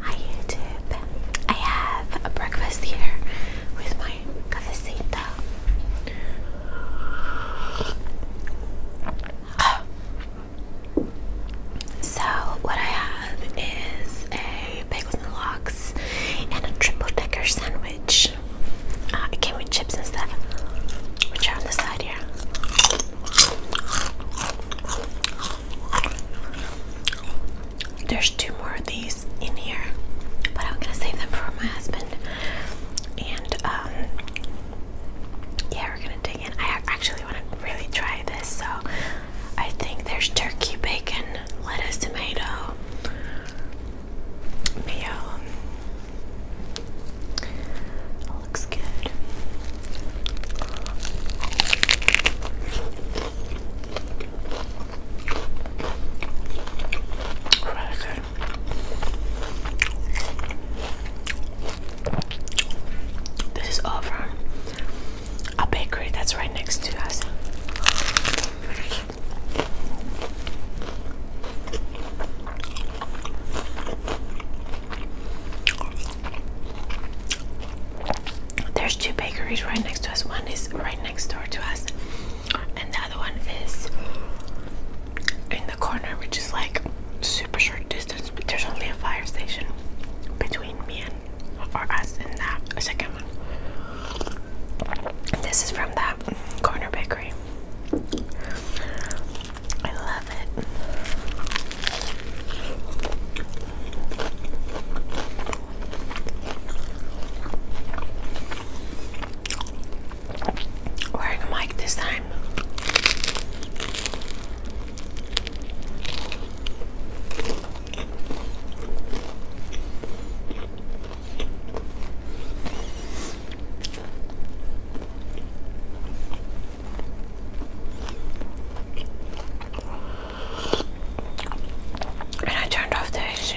Hi YouTube, I have a breakfast here with my cafecita. So what I have is a bagels and lox and a triple decker sandwich. Uh, it came with chips and stuff, which are on the side here. There's two more of these in here, but I'm gonna save them for my husband. And um, yeah, we're gonna dig in. I actually want to really try this, so I think there's turkey, bacon, lettuce, tomato, mayo, that looks good. good. This is all from a bakery that's right next to us. There's two bakeries right next to us. One is right next door to us, and the other one is in the corner, which is like super short distance. But there's only a fire station between me and or us and that second one. This is from that corner bakery. I love it. Wearing a mic this time. And I turned off the AC.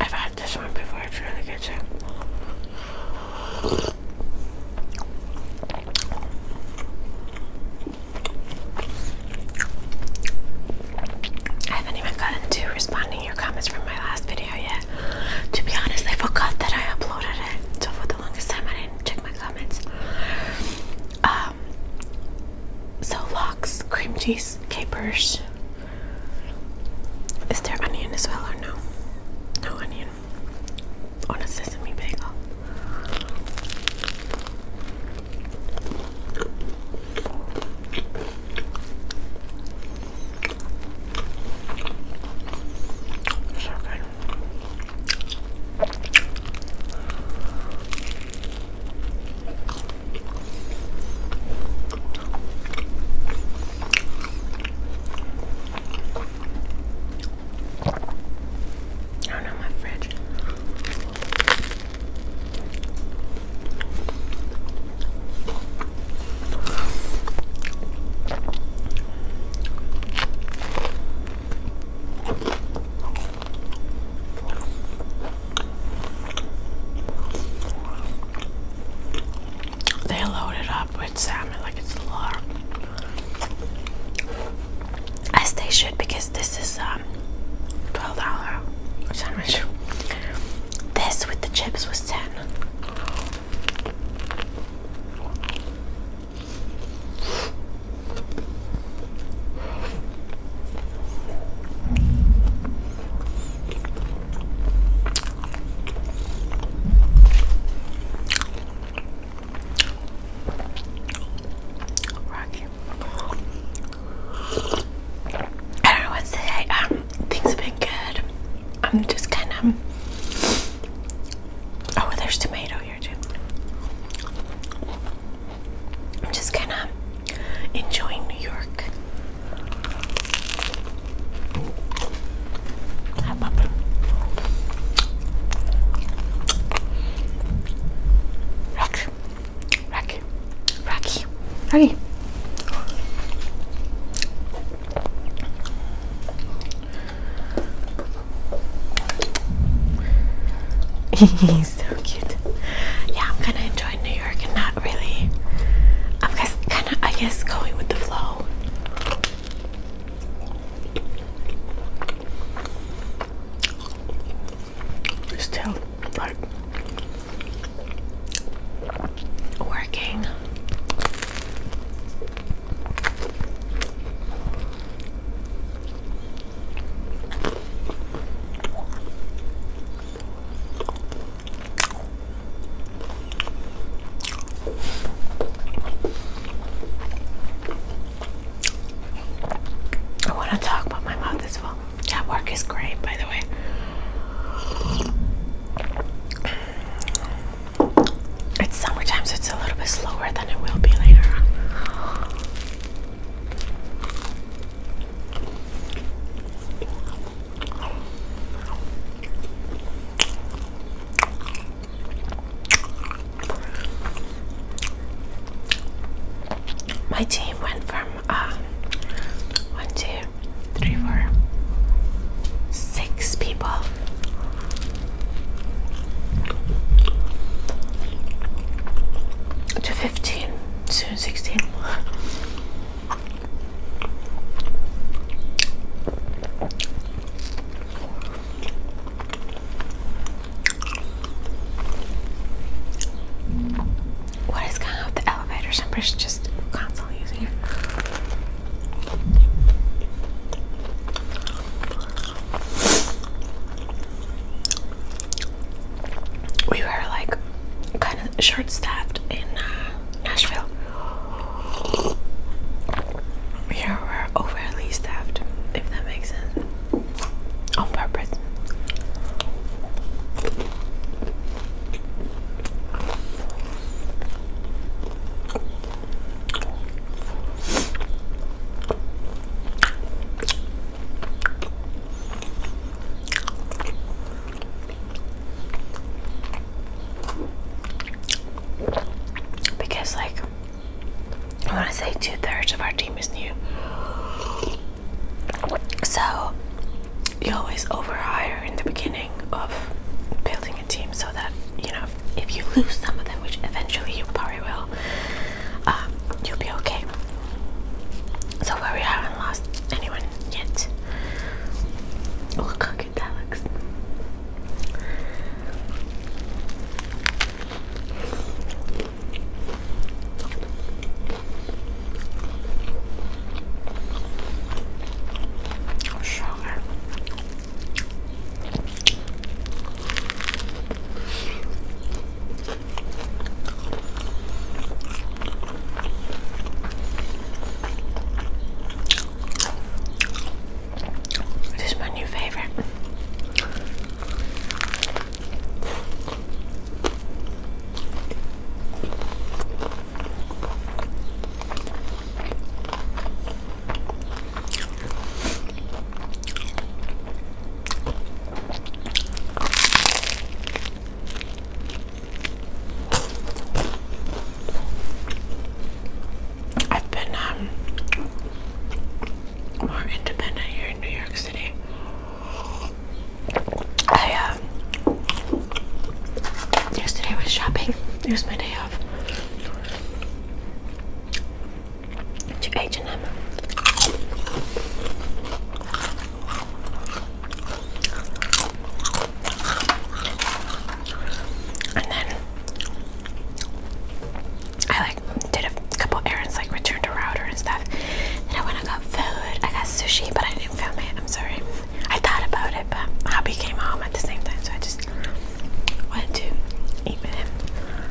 I've had this one before, it's really good I haven't even gotten to responding to your comments from my last video yet. To be honest, I forgot that I uploaded it. So for the longest time, I didn't check my comments. Um, so locks, cream cheese, capers, is there onion as well or no? No onion on a sesame bagel. So good. Oh no, my fridge. They load it up with salmon like it's a lot. As they should, because this is um $12 This with the chips was 10 Rocky. I don't know to say. Um, things have been good. I'm just kind of. Oh, there's tomato here too. I'm just kind of enjoying New York. Rocky, Rocky, Rocky, Rocky. He's so cute. Yeah, I'm gonna enjoy New York and now really. I'm kind of, I guess, going with the flow. Still, like, working. I want to talk about my mouth as well. That work is great, by the way. It's summertime, so it's a little bit slower than it will be later my team went from uh, one, two, three, four, six people. To 15 16 What is going on with the elevator? Somebody's just constantly using it we were like kind of short staffed in uh, Nashville. Here we're overly staffed, if that makes sense. On purpose. Because, like, I want to say two thirds of our team is new. So, you always overhire in the beginning of building a team so that, you know, if you lose some of them, which eventually you probably will, um, you'll be okay. So far we haven't lost anyone yet. Oh, look how good that looks. Sugar. It is my new favorite. I've been um, more independent here in New York City. I um, yesterday I was shopping. It was my day off to H&M. And then I like did a couple errands, like returned a router and stuff. Then I went and got food. I got sushi, but I didn't film it. I'm sorry. I thought about it, but hubby came home at the same time, so I just went to eat with him. And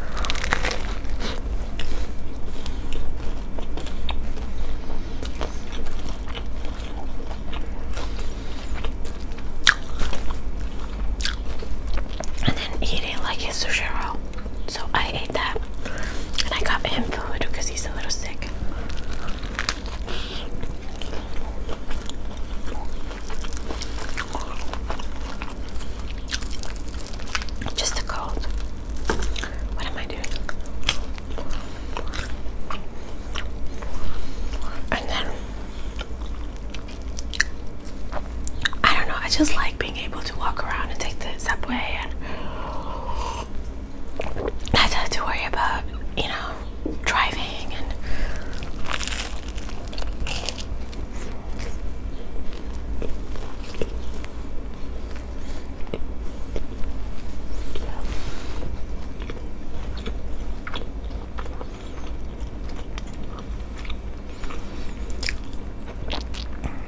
then he did like his sushi so I ate that. And I got him food because he's a little sick. Just a cold. What am I doing? And then I don't know, I just like being able to walk around and take the subway and not have to worry about, you know, driving and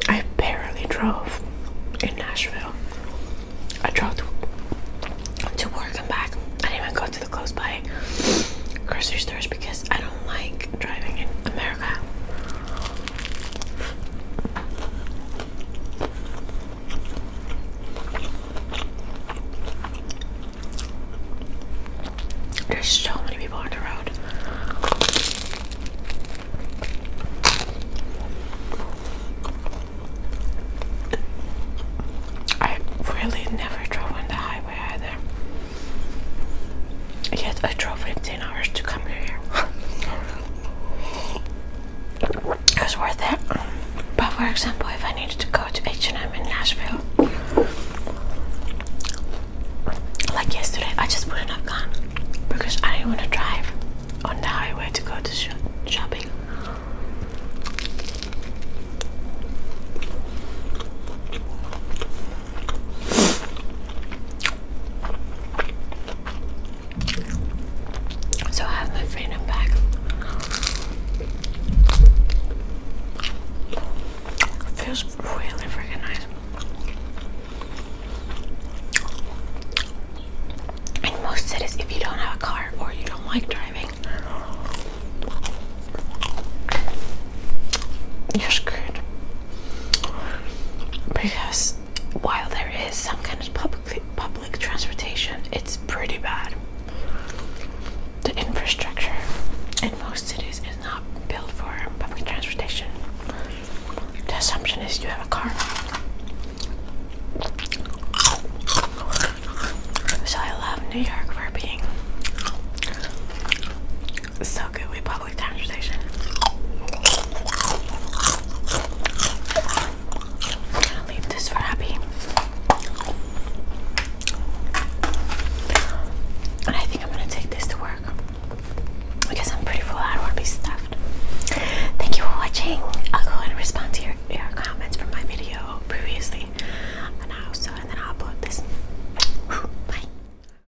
I barely drove in Nashville. I drove to, work and back. I didn't even go to the close by grocery stores because I don't like driving in America. There's so many people on the road. I really never drove on the highway either. Yes, I drove 50 hours to come here. it was worth it. But for example, if I needed to go to H&M in Nashville, like yesterday, I just wouldn't have gone because I didn't want to drive on the highway to go to shopping. So I have my freedom back. It feels really freaking nice. In most cities, if you don't have a car or you don't like driving, you're screwed because while there is some kind of public public transportation, it's pretty bad. The infrastructure in most cities is not built for public transportation. The assumption is you have a car. So I love New York for being it's so good with public transportation. I'm gonna leave this for Abby. And I think I'm gonna take this to work because I'm pretty full. I don't wanna be stuffed. Thank you for watching. I'll go and respond to your, your comments from my video previously, and also, and then I'll upload this. Bye.